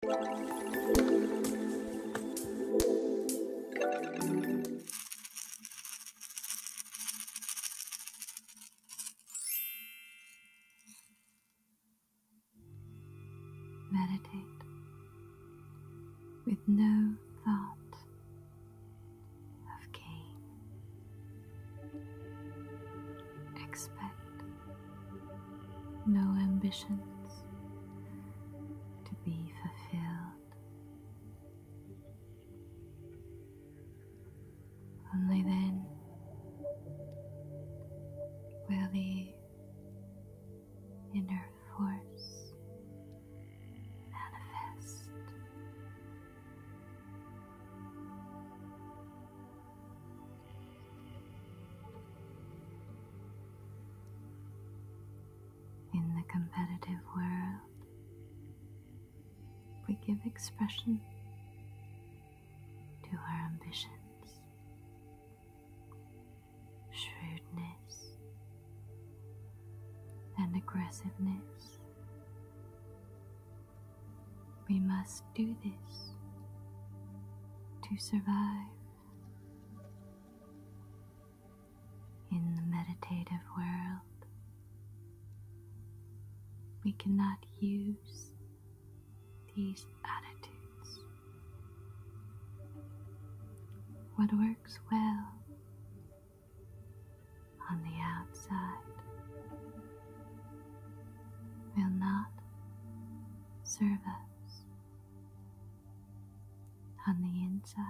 Meditate with no thought of gain. Expect no ambitions to be fulfilled. Only then will the inner force manifest. In the competitive world, we give expression to our ambitions, shrewdness, and aggressiveness. We must do this to survive. In the meditative world, we cannot use these attitudes. What works well on the outside will not serve us on the inside.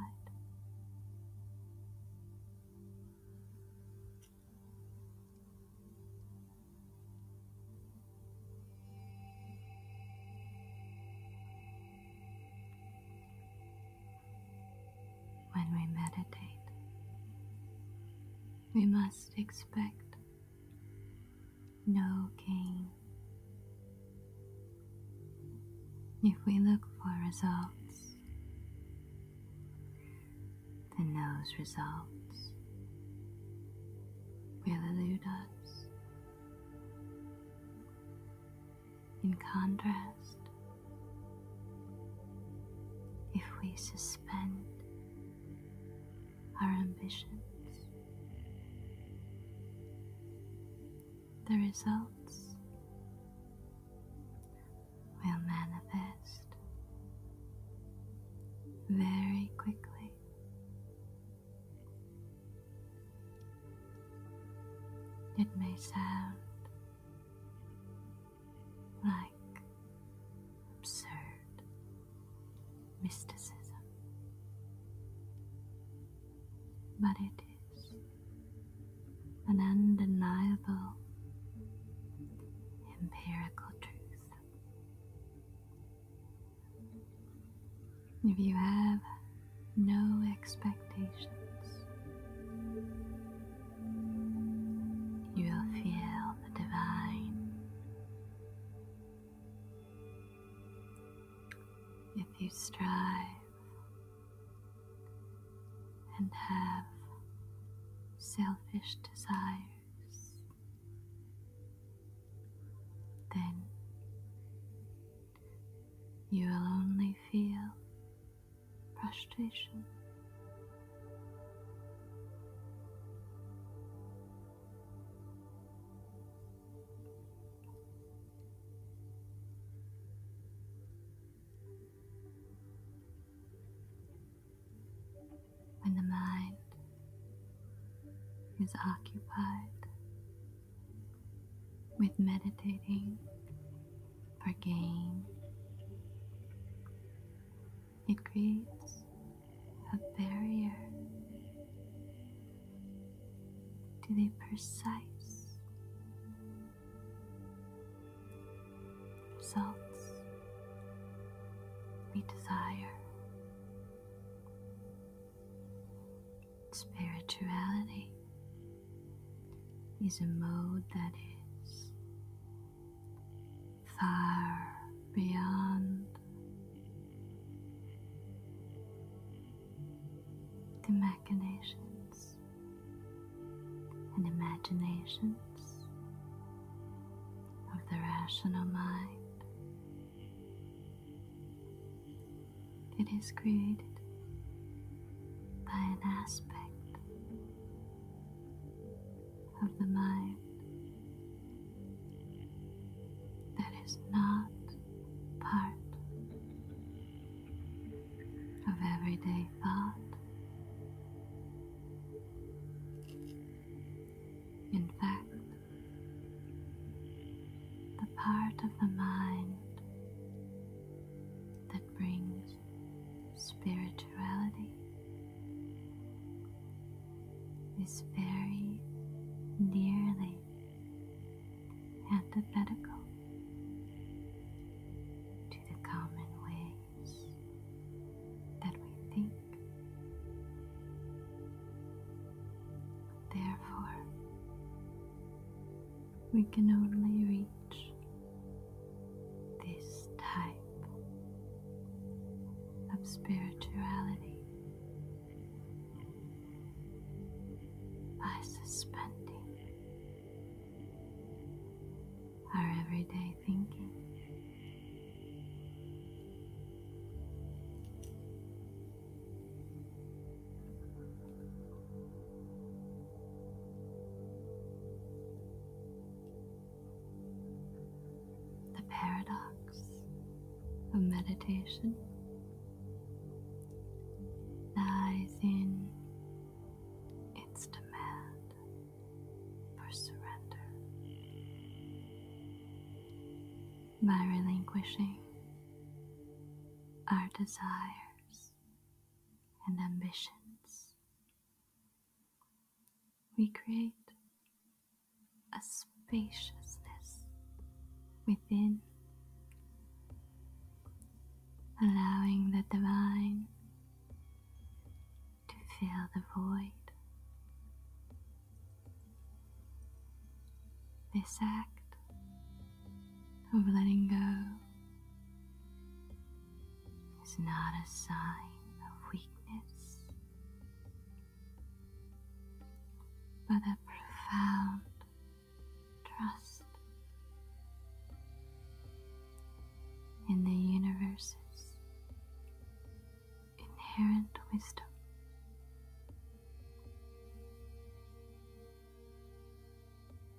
When we meditate, we must expect no gain. If we look for results, then those results will elude us. In contrast, if we suspend our ambitions. The results will manifest very quickly. It may sound like absurd mysticism, but it is an undeniable empirical truth. If you have no expectations, you will feel the divine if you strive and have selfish desires, then you will only feel frustration. When the mind is occupied with meditating for gain, it creates a barrier to the precise results we desire. Spirituality is a mode that is far beyond the machinations and imaginations of the rational mind. It is created by an aspect of the mind that is not part of everyday thought. In fact, the part of the mind that brings spirituality is very nearly antithetical to the common ways that we think. Therefore, we can only reach this type of spirituality by suspending our everyday thinking. The paradox of meditation lies in its demand for surrender. By relinquishing our desires and ambitions, we create a spaciousness within, allowing the divine to fill the void. This act of letting go is not a sign of weakness but a profound trust in the universe's inherent wisdom.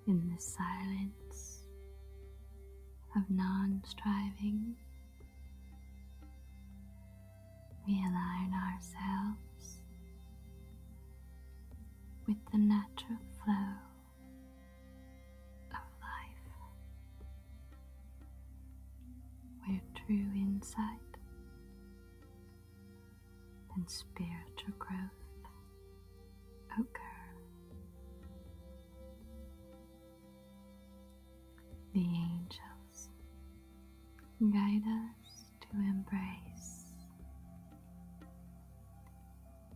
In the silence of non striving we align ourselves with the natural flow of life, where true insight and spiritual growth occur. The angels guide us to embrace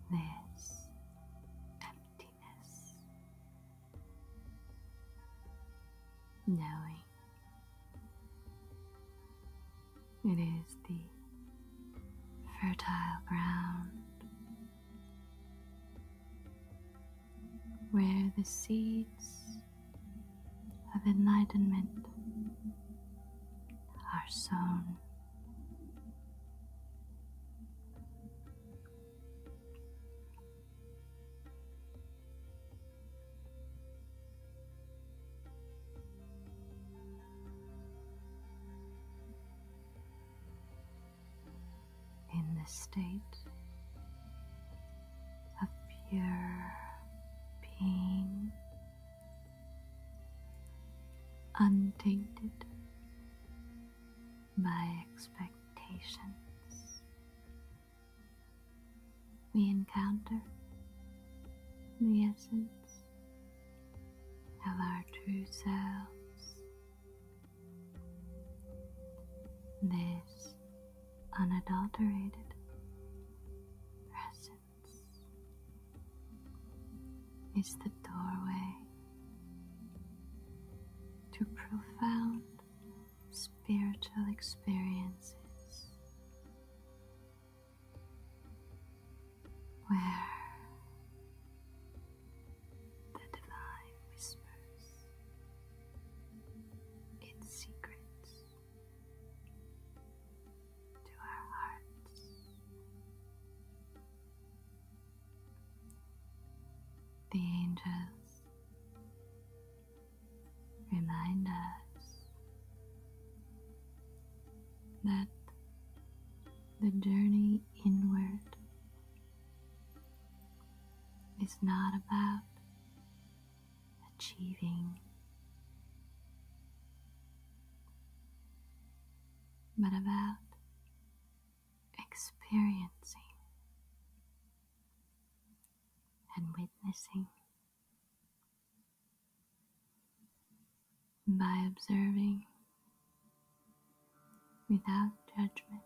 this emptiness, knowing it is the fertile ground where the seeds of enlightenment are sown. In this state, of pure being, untainted by expectations. We encounter the essence of our true selves. This unadulterated presence is the doorway to profound spiritual experiences where the divine whispers its secrets to our hearts. The angels remind us that the journey inward is not about achieving. But about experiencing and witnessing by observing without judgment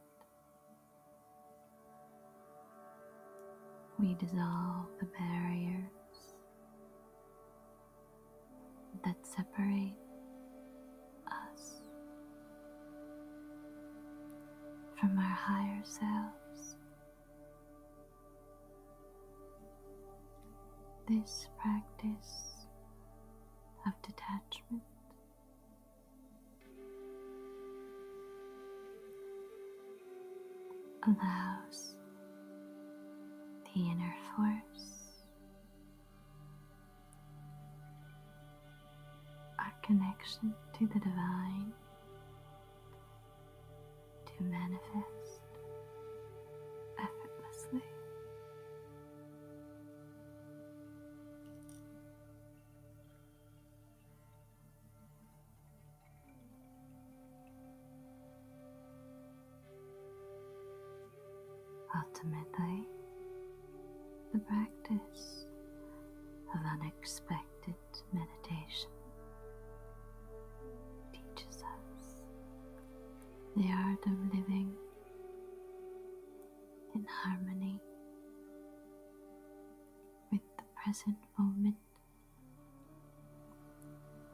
we dissolve the barriers that separate us from our higher selves. This practice of detachment allows the inner force our connection to the divine to manifest effortlessly Ultimately, the practice of unexpected meditation teaches us the art of living in harmony with the present moment.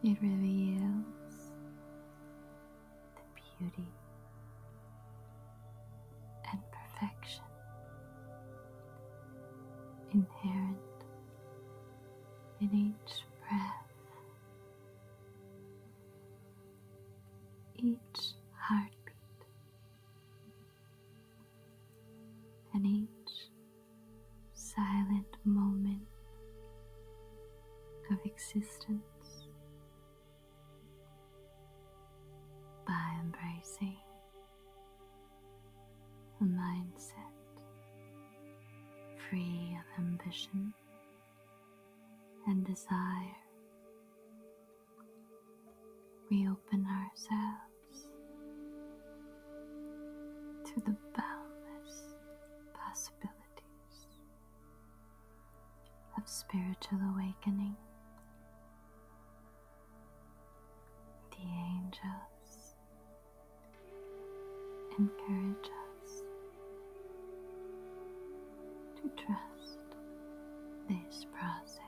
It reveals the beauty and perfection inherent in each breath, each heartbeat, and each silent moment of existence by embracing a mindset free of ambition and desire. We open ourselves to the boundless possibilities of spiritual awakening. The angels encourage us to trust this process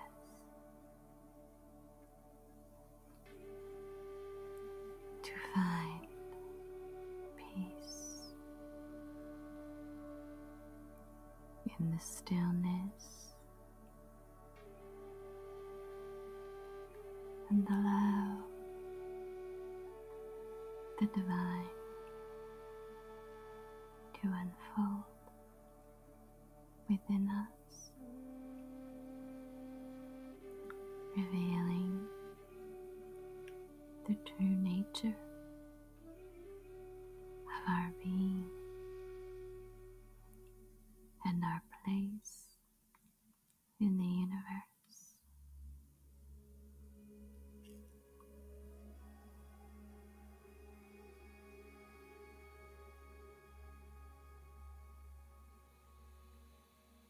to find peace in the stillness and allow the divine to unfold within us revealing the true nature of our being and our place in the universe.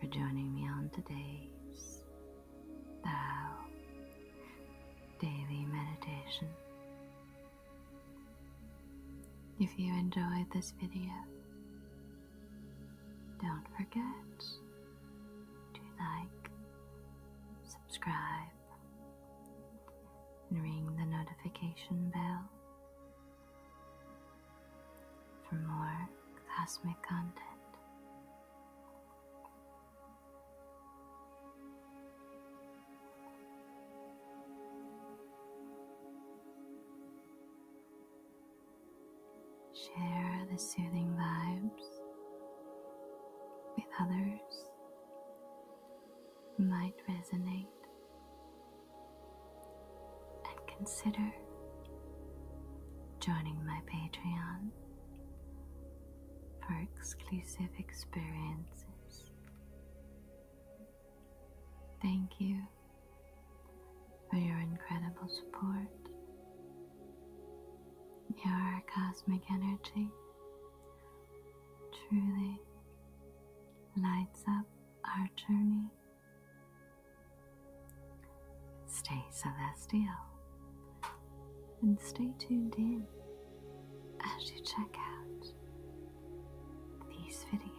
for joining me on today's uh, Daily Meditation. If you enjoyed this video, don't forget to like, subscribe, and ring the notification bell for more cosmic content Share the soothing vibes with others might resonate and consider joining my Patreon for exclusive experiences. Thank you for your incredible support. Your cosmic energy truly lights up our journey Stay celestial and stay tuned in as you check out these videos.